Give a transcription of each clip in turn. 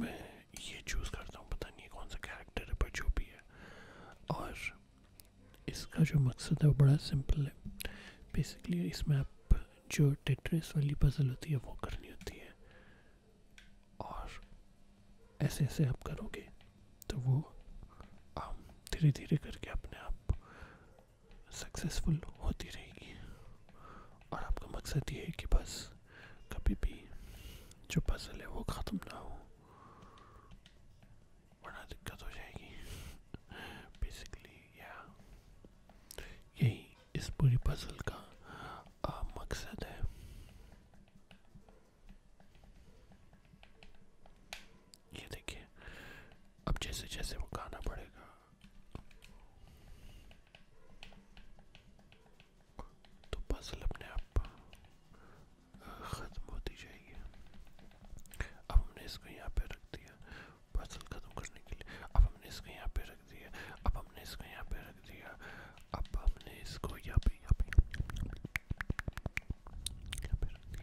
मैं ये चूज़ करता हूँ पता नहीं कौन सा कैरेक्टर है पर जो भी है और इसका जो मकसद है वो बड़ा सिंपल है बेसिकली इसमें आप जो टेट्रेस वाली पजल होती है वो करनी होती है और ऐसे ऐसे आप करोगे तो वो धीरे धीरे करके अपने आप सक्सेसफुल होती रहेगी और आपका मकसद ये है कि बस कभी भी जो पजल है वो ख़त्म ना हो बड़ा दिक्कत हो जाएगी बेसिकली या यही इस पूरी पजल का मकसद है ये देखिए अब जैसे जैसे वो गाना पड़ेगा तो पजल अपने आप ख़त्म होती जाएगी अब हमने इसको यहाँ पे रख दिया पजल ख़त्म करने के लिए अब हमने इसको यहाँ पे रख दिया अब हमने इसको यहाँ पे रख दिया अब हमने इसको यहाँ पे यहाँ पे यहाँ पे रख दिया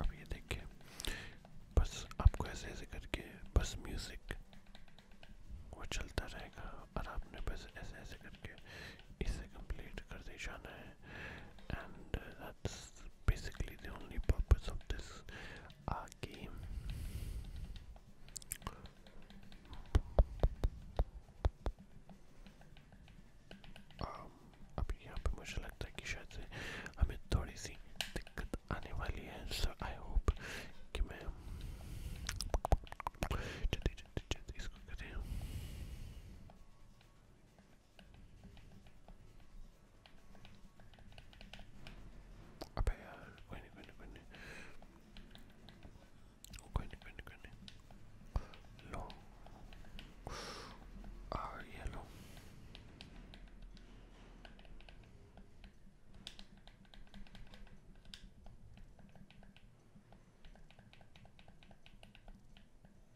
अब ये देखिए बस आपको ऐसे ऐसे करके बस म्यूज़िक वो चलता रहेगा और आपने बस ऐसे ऐसे करके इसे कंप्लीट कर दे जाना है and that's is basically the only purpose of this uh, game. अभी यहाँ पे मुझे लगता है कि शायद से हमें थोड़ी सी दिक्कत आने वाली है सो आई होप कि मैं जल्दी जल्दी जल्दी इसको करें Apa ya? Gwenny, Gwenny, Gwenny. Gwenny, Gwenny, Gwenny. Long are ah, yellow.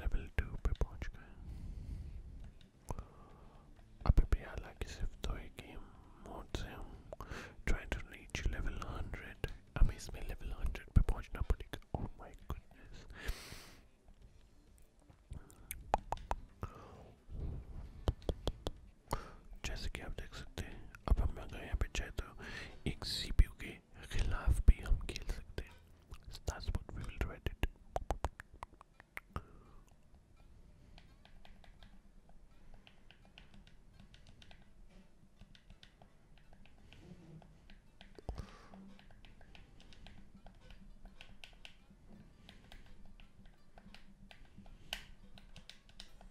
Level 2 Pepochka. APPR like is if toy game modes um, trying to reach level 100. Amaze me level 100 Pepochna Putik. Oh my goodness. जैसे कि आप देख सकते हैं अब हम अगर यहाँ पे चाहे तो एक सी के खिलाफ भी हम खेल सकते हैं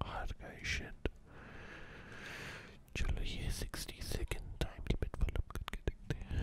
Arkadaşlar July 62nd time limit for look good getting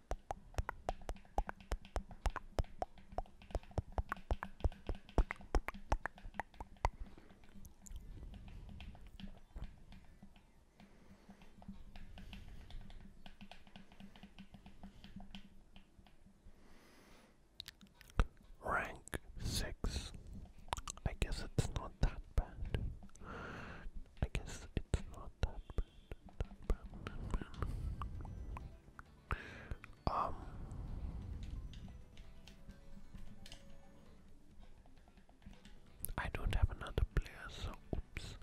Rank six. I guess it's not that bad. I guess it's not that bad. Um I don't have another player, so oops.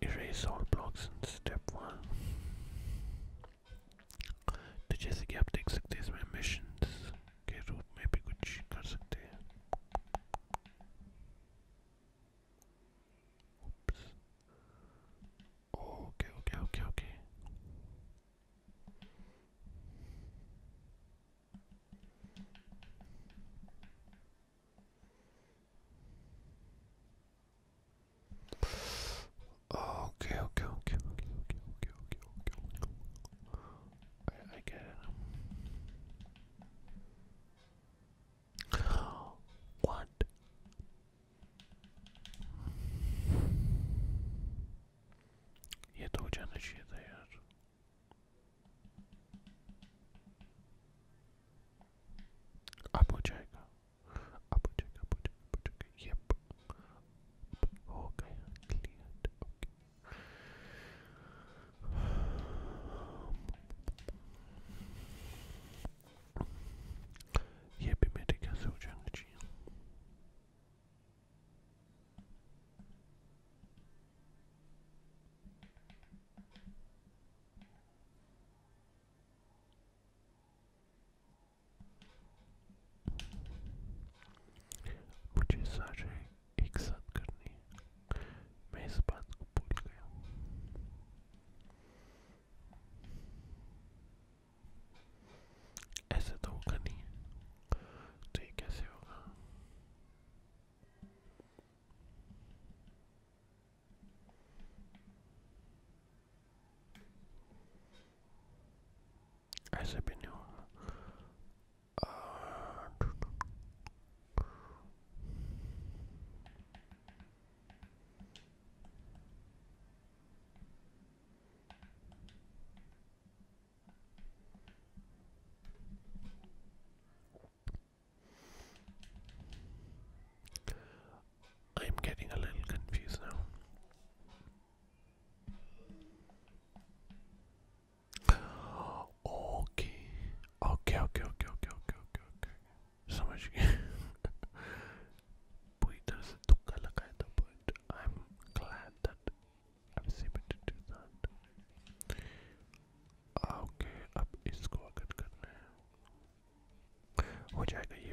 Erase all blocks in step one. तो जैसे कि आप देख सकते हैं इसमें missions के रूप में भी कुछ Oops. Okay, okay, okay, okay. Okay, okay, okay, okay, okay, okay, okay, okay, okay. I, I get it. What? Yet ocağına şey dayar. Apocayga. Apocayga, apocayga, apocayga. Yep. Okay, cleared. Okay. Yepime de gaz ocağın için. Bu cesaret एक साथ करनी है मैं इस बात को भूल गया हूँ ऐसे तो होगा नहीं तो ये कैसे होगा ऐसे भी नहीं होगा I'm getting a little confused now. Okay. Okay, okay, okay, okay, okay, okay, okay. Somebody doesn't look I'm glad that I was able to that. Okay, ab इसको अगर करना है, हो जाएगा ये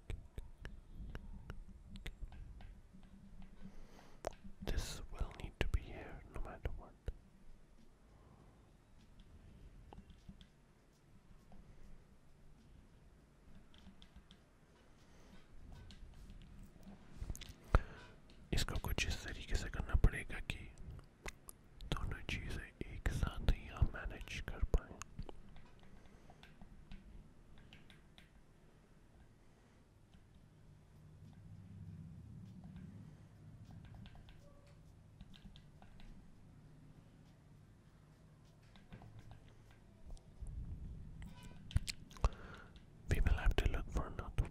This will need to be here no matter what. इसको कुछ इस तरीके से करना पड़ेगा कि दोनों एक साथ ही We will have to look for another way.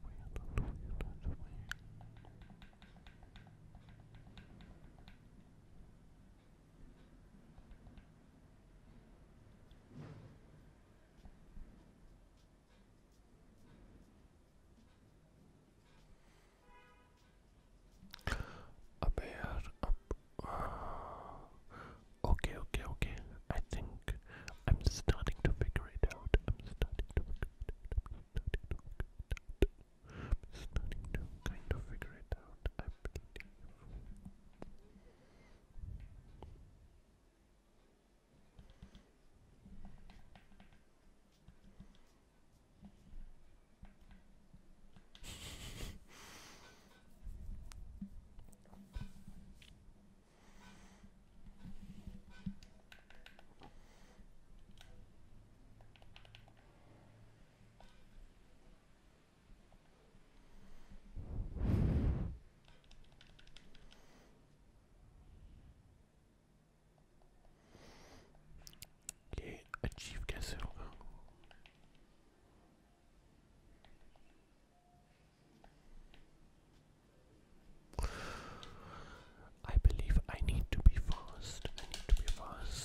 Uh, okay, okay, okay. I think I'm starting to figure it out. I'm starting to kind of figure it out, I believe. Okay, achieve castle. I believe I need to be fast. I need to be fast.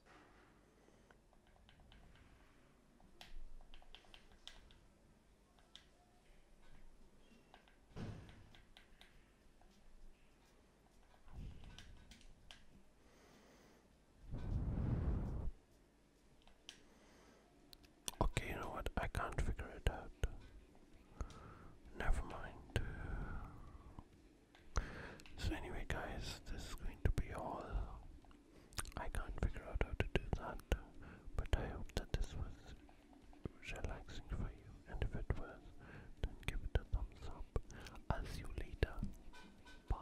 Okay, you know what? I can't figure it out. Never mind. So anyway guys, this is going to be all. I can't figure out how to do that, but I hope that this was relaxing for you and if it was, then give it a thumbs up. I'll see you later. Bye.